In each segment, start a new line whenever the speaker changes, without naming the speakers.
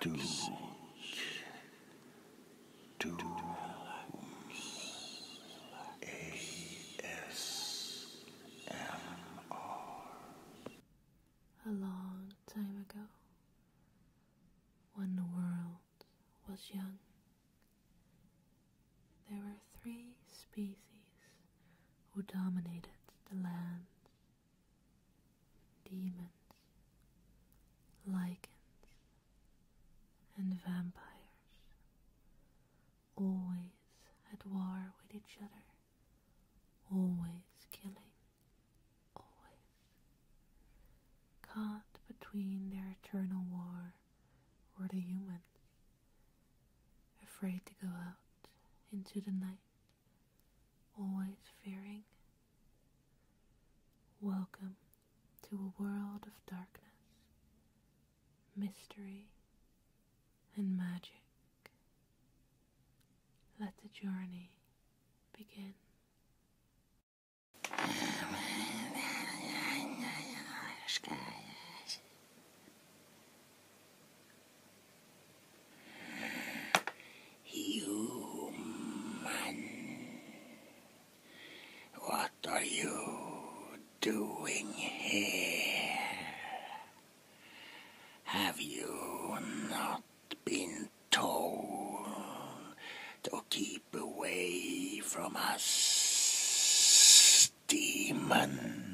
to,
A long time ago, when the world was young, there were three species who dominated the land demons, lichens, and vampires, always at war with each other, always killing, always caught between their eternal war or the humans, afraid to go out into the night always fearing. Welcome to a world of darkness, mystery, and magic. Let the journey begin.
Human, what are you doing here? Have you not been told to keep away from us, demons?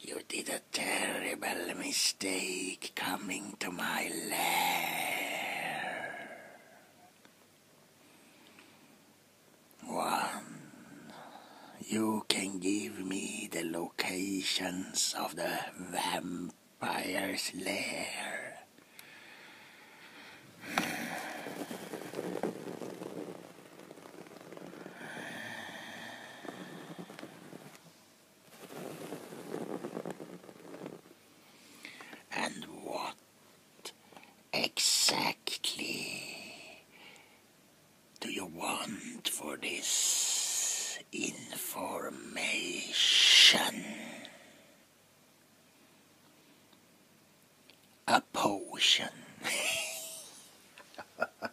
You did a terrible mistake coming to my lair. One, you can give me the locations of the vampire's lair. And what exactly do you want for this information? a potion.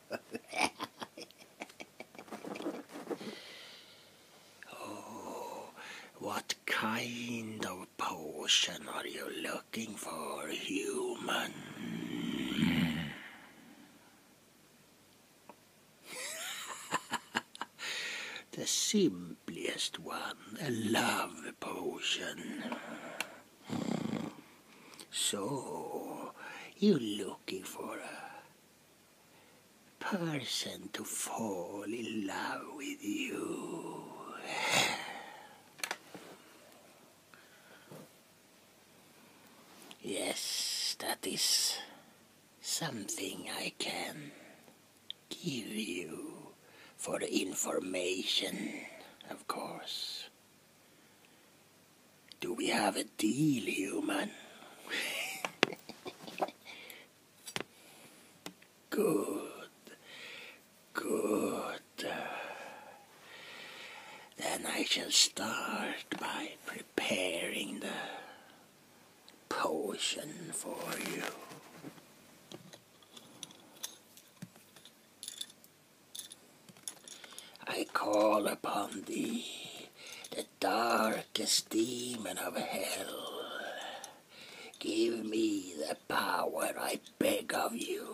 oh, what kind of potion are you looking for, human? the simplest one, a love potion. So, you're looking for a person to fall in love with you. Yes, that is something I can give you for information, of course. Do we have a deal, human? good, good. Then I shall start by preparing the potion for you. I call upon thee, the darkest demon of hell. Give me the power, I beg of you,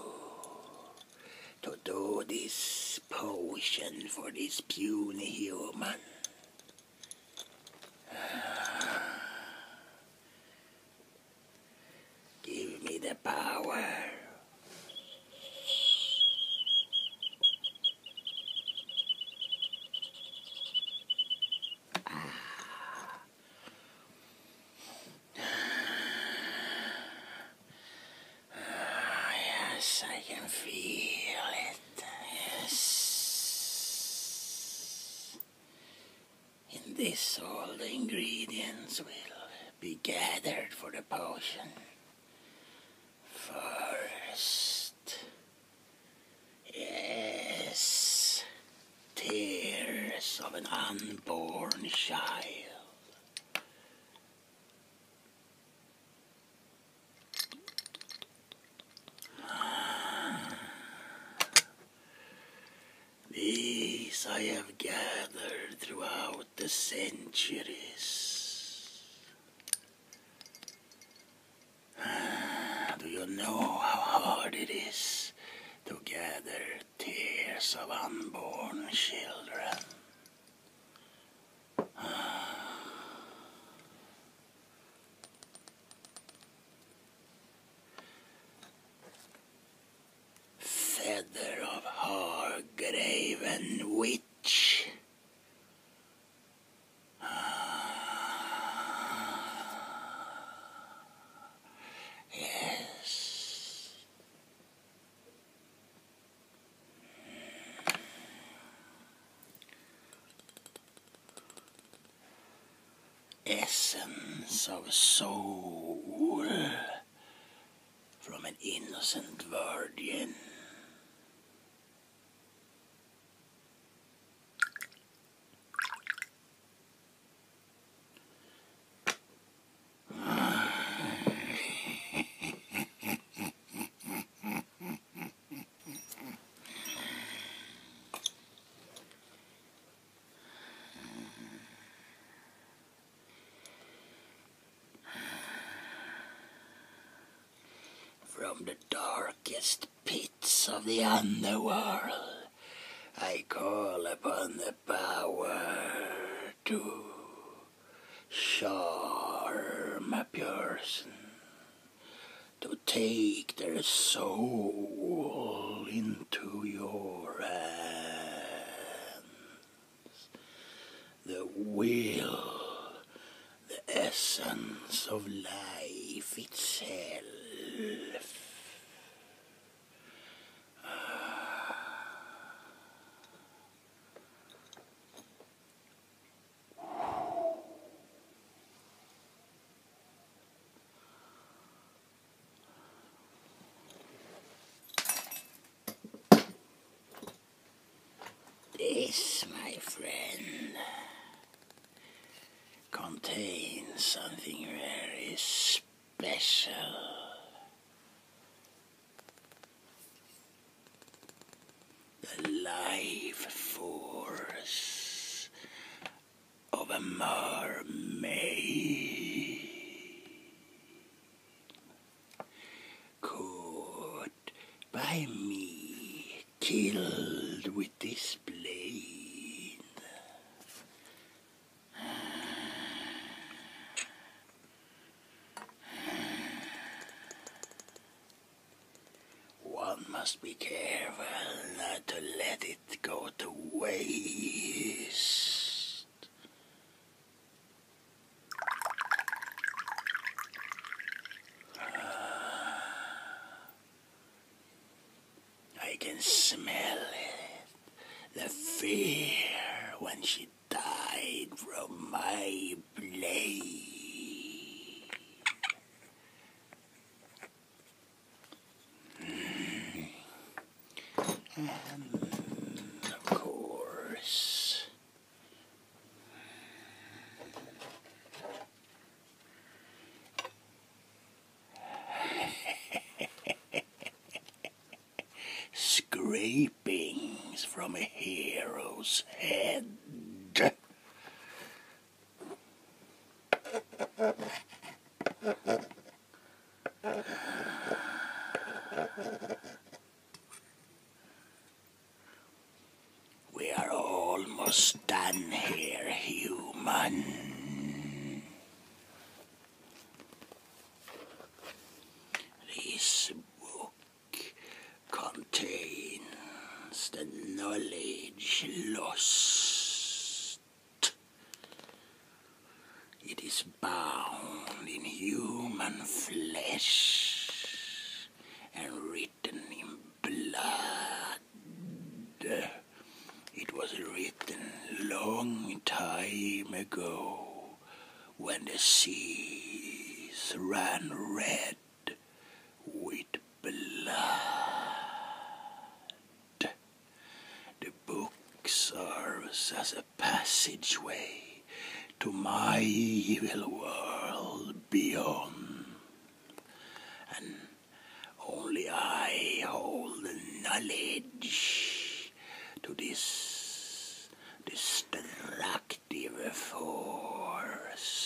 to do this potion for this puny human. Give me the power. Ah. Ah, I can feel it. Yes. In this all the ingredients will be gathered for the potion. First, yes, tears of an unborn child. These I have gathered throughout the centuries. Ah, do you know how hard it is to gather tears of unborn children? Ah feather of graven witch. Yes. Essence of soul from an innocent virgin. From the darkest pits of the underworld, I call upon the power to charm a person, to take their soul into your hand the will, the essence of life itself. This, my friend, contains something very special. The life force of a mermaid. Caught by me, killed with this blade. One must be careful not to let it go to waste. I can smell it. The fear when she died from my blade. Hmm. And of course, scrapings from a hero's head. We are almost done here, human. This book contains the knowledge lost. It is bound in human flesh and written in blood. It was written long time ago when the seas ran red with blood. The book serves as a passageway to my evil world beyond. And only I hold knowledge to this destructive force.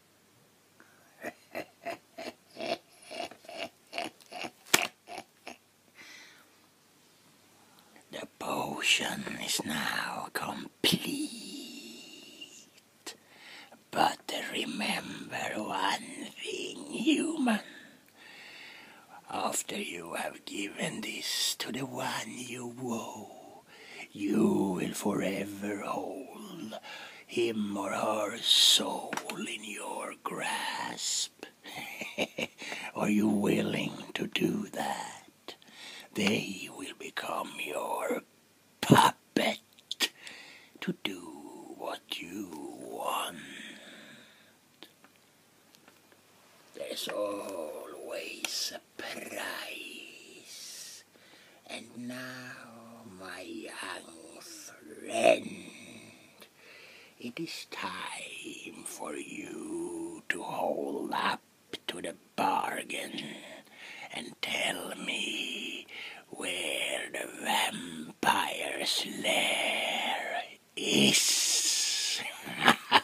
the potion is now complete. But remember one thing, human. After you have given this to the one you woo, you will forever hold him or her soul in your grasp. Are you willing to do that? They will become your puppet to do what you want. There's always a price. And now, my young friend, it is time for you to hold up to the bargain and tell me where the vampire's lair is.